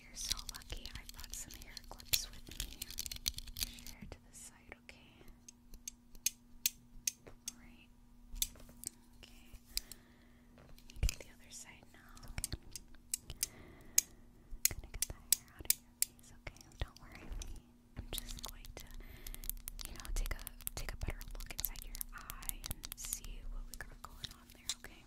You're so lucky I brought some hair clips with me. Share to the side, okay? Alright. Okay. get the other side now. Okay. am gonna get the hair out of your face, okay? Don't worry I'm just going to, you know, take a take a better look inside your eye and see what we got going on there, Okay.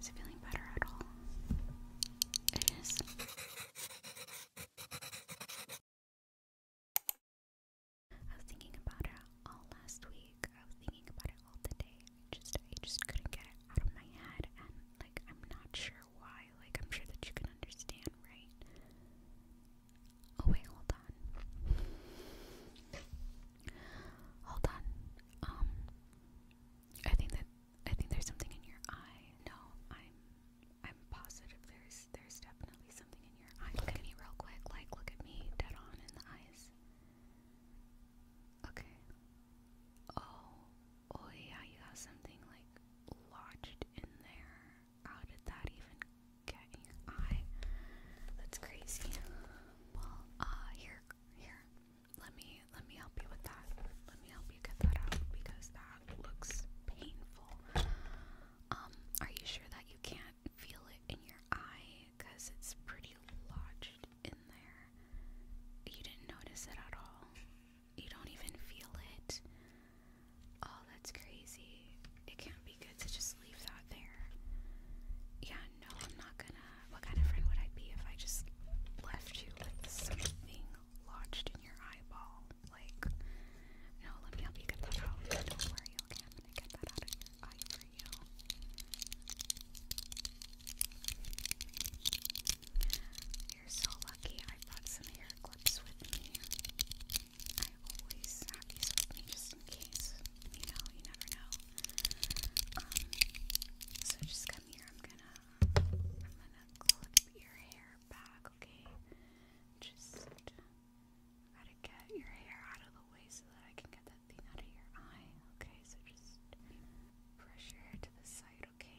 Is it feeling better at all? It is. I was thinking about it all last week. I was thinking about it all today. I just I just couldn't get it out of my head and like I'm not sure why. Like I'm sure that you can understand, right? Oh wait, hold on. Hold on. Um I think that I think there's something in your eye. No, I'm I'm positive there's there's definitely something in your eye. Look at me real quick, like look at me dead on in the eyes. Okay. Oh, oh yeah, you have something like lodged in there. How did that even get in your eye? That's crazy. Well, uh, here, here. Let me, let me help you with that. Let me help you get that out because that looks painful. Um, are you sure that you can't feel it in your eye? Cause it's pretty lodged in there. You didn't notice it at all. You don't even feel it. Oh, that's crazy. It can't be good to just leave that there. Yeah, no, I'm not gonna. What kind of friend would I be if I just left you with something lodged in your eyeball? Like, no, let me help you get that out. Don't worry, okay? I'm gonna get that out of your for you. You're so lucky I brought some hair clips with me. I always have these with me just in case. You know, you never know. Um, so just come here. I'm gonna, I'm gonna clip your hair back. Okay, just gotta get your hair out of the way so that I can get that thing out of your eye. Okay, so just brush your hair to the side. Okay.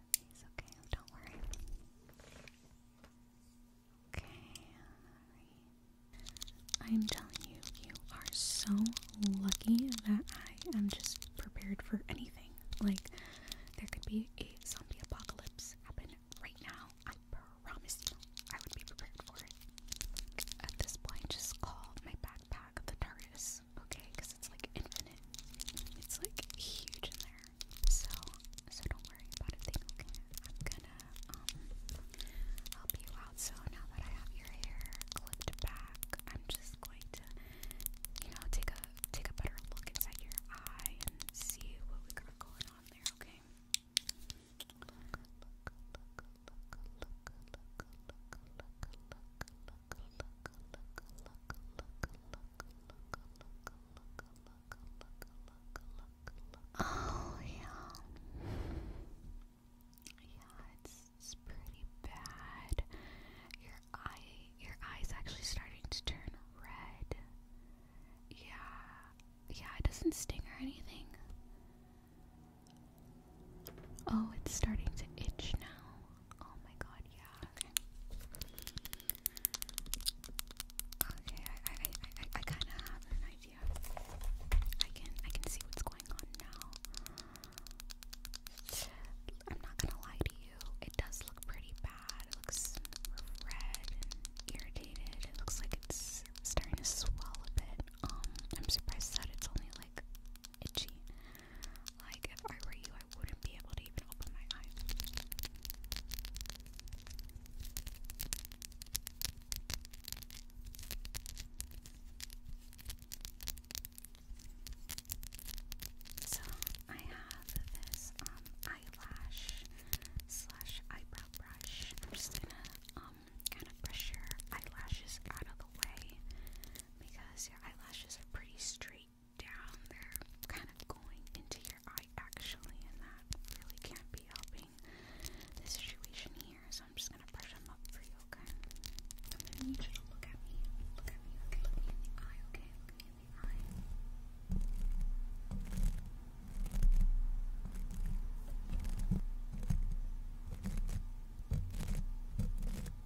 of okay? don't worry. Okay, I am telling you, you are so lucky that I am just prepared for anything. Like, there could be a zombie apocalypse happening right now. I promise you, I would be prepared for it. At this point, just call my backpack back the TARDIS, okay? Because it's like infinite. It's like huge in there. So so don't worry about it. okay? I'm gonna um help you out. So now that I have your hair clipped back, I'm just going to you know take a take a better look inside your eye and see what we got going on there, okay? look, look, look, look, look, look, look, look, Oh yeah, yeah, it's pretty bad. Your eye, your eye's actually starting to turn red. Yeah, yeah, it doesn't sting or anything. Oh, it's starting to itch now. Oh my god, yeah, okay. Okay, I I I I kinda have an idea. I can I can see what's going on now. I'm not gonna lie to you, it does look pretty bad. It looks red and irritated. It looks like it's starting to swell a bit. Um, I'm surprised that it's only like itchy. Like, if I were you, I wouldn't be able to even open my eyes. So, I have this um, eyelash slash eyebrow brush. I'm just gonna um, kind of brush your eyelashes out of the way because your eyelashes are pretty straight down. They're kind of going into your eye actually, and that really can't be helping the situation here. So I'm just gonna brush them up for you, okay? I'm you to look at me. Look at me, okay? Look me in the eye, okay? Look me in the eye. Okay,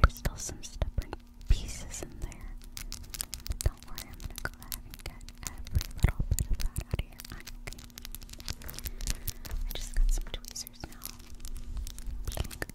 There's still some stubborn pieces in there. But don't worry, I'm gonna go ahead and get every little bit of that out of your I just got some tweezers now. Blink.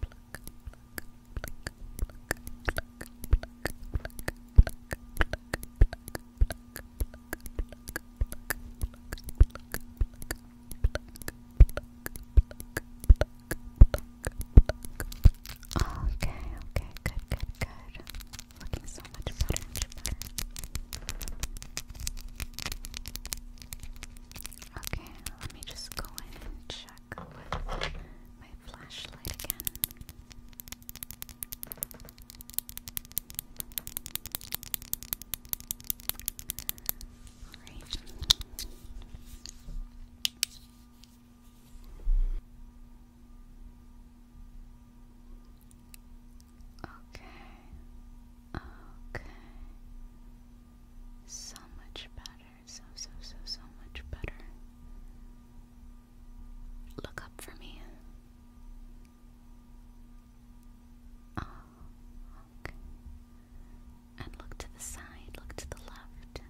pluck, pluck, Okay, okay, good, good, good. Looking so much better. Okay, let me just go in and check with my flashlight again. Alright. Okay. Okay. So much better so, so, so, so much better. Look up for me. Oh, okay. And look to the side, look to the left.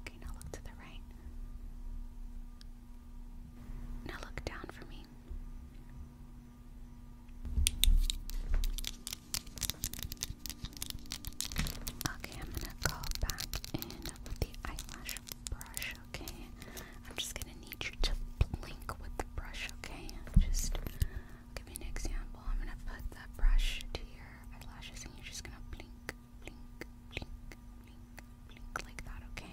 Okay, now look to the right. Now look down for me. Okay, I'm gonna go back in with the eyelash brush, okay? I'm just gonna need you to blink with the brush, okay? Just give me an example. I'm gonna put the brush to your eyelashes and you're just gonna blink, blink, blink, blink, blink like that, okay?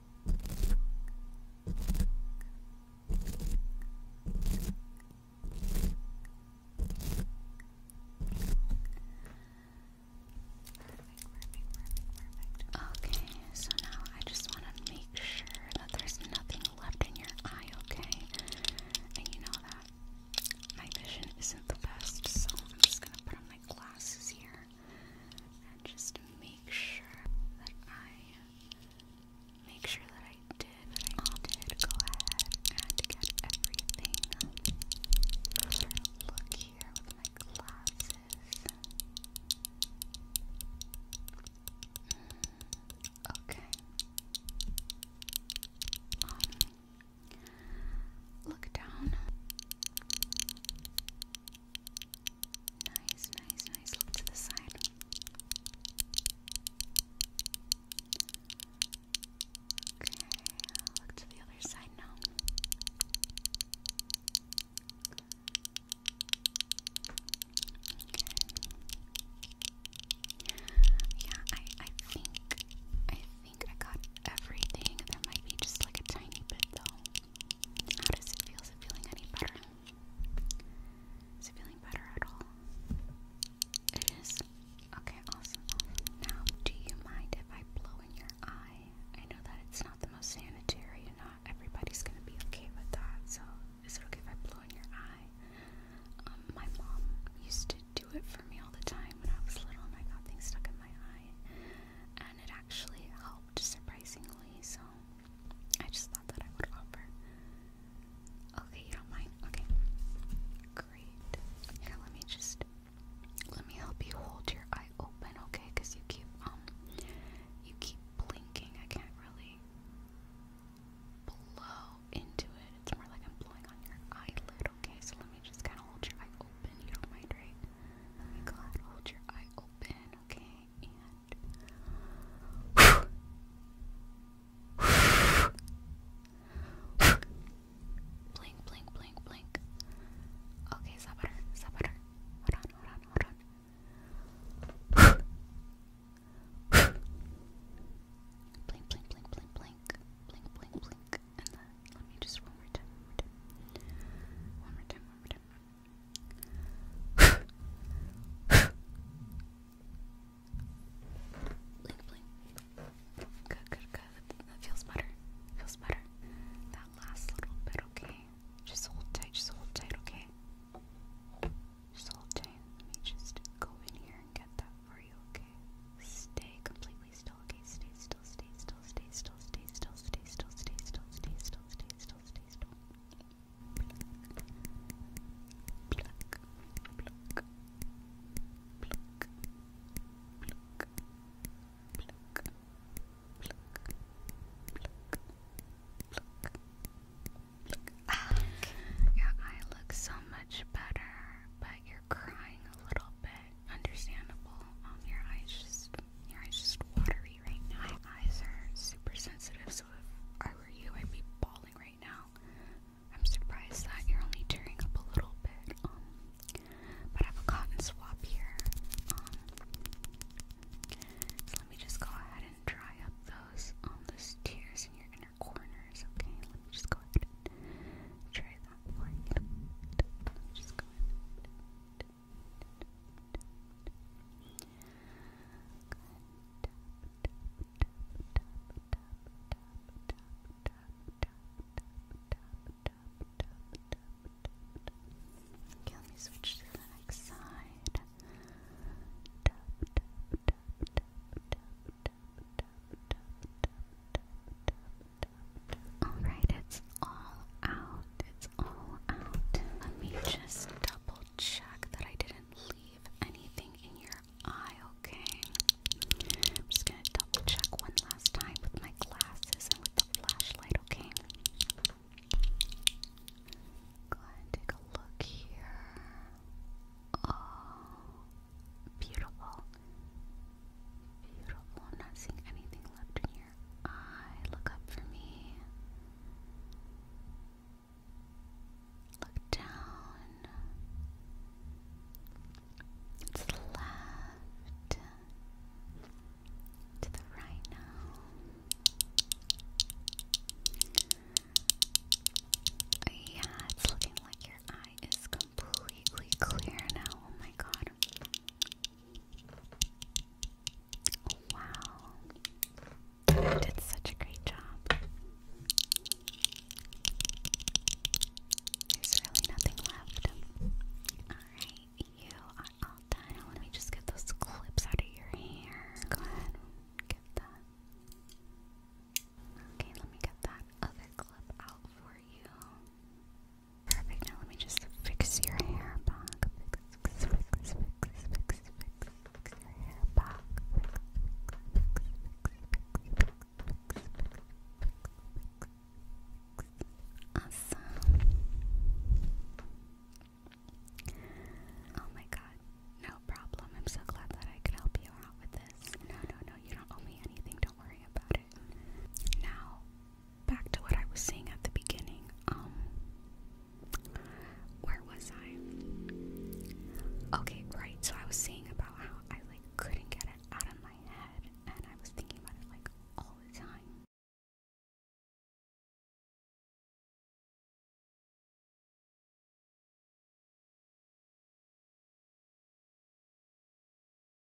Okay, so now I just want to make sure that there's nothing left in your eye, okay? And you know that my vision isn't the best, so I'm just gonna put on my glasses here and just make sure that I make sure that I did that I did go ahead and get everything. Let's look here with my glasses. Mm, okay. Um, look down. Nice, nice, nice. Look to the side. Okay, look to the other side now. Okay. Yeah, I I think I think I got everything. There might be just like a tiny bit though. How does it feel? Is it feeling any better? Is it feeling better at all? It is. Okay, awesome. Now, do you mind if I blow in your eye? I know that it's not the most sanitary and not everybody's gonna be okay with that, so is it okay if I blow in your eye? Um, my mom used to do it for me all the time when I was little and I got things stuck in my eye and it actually helped surprisingly, so I just thought that I would offer. Okay, you don't mind? Okay. Great. Here, let me just let me help you hold your eye open, okay? Because you keep um you keep blinking. I can't really blow into it. It's more like I'm blowing on your eyelid, okay? So let me just kinda hold your eye open. You don't mind, right? Oh my god, hold your eye open okay? And blink, blink, blink, blink. Okay, is that better? Is Hold on, hold on, hold on. blink, blink, blink, blink, blink, blink, blink, blink, and let me just one more time, one more time, one more time, blink, blink. Good, good, good. That feels better. Feels better. That last little bit, okay? Just hold tight, just hold tight, okay? Just hold tight. Let me just go in here and get that for you, okay? Stay completely still, okay? Stay still still, stay still, so much better, but you're crying a little bit understandable. Um, your eyes just your eyes just watery right now. My eyes are super sensitive, so if I were you, I'd be bawling right now. I'm surprised that you're only tearing up a little bit. Um, but I have a cotton swab here. Um, so let me just go ahead and dry up those um, those tears in your inner corners. Okay, let me just go ahead and dry that just go ahead. Okay, let me switch to the next side. Alright, it's all out. It's all out. Let me just double check that I didn't leave anything in your eye, okay? I'm just gonna double check one last time with my glasses and with the flashlight, okay? Go ahead and take a look here. Oh, beautiful. Beautiful. I'm not seeing anything left in your eye. Look up for me. Look down. It's left to the right now. Yeah, it's looking like your eye is completely clear now. Oh my god, god. Wow. did such a great job. There's really nothing left. Alright, you are all done. Let me just get those clips out of your hair. Go ahead get that. Okay, let me get that other clip out for you. Perfect. Now let me just fix your hair Awesome. Oh my god. No problem. I'm so glad that I could help you out with this. No, no, no. You don't owe me anything. Don't worry about it. Now, back to what I was saying at the beginning. Um, where was I? Okay, right. So I was saying about how I like couldn't get it out of my head, and I was thinking about it like all the time.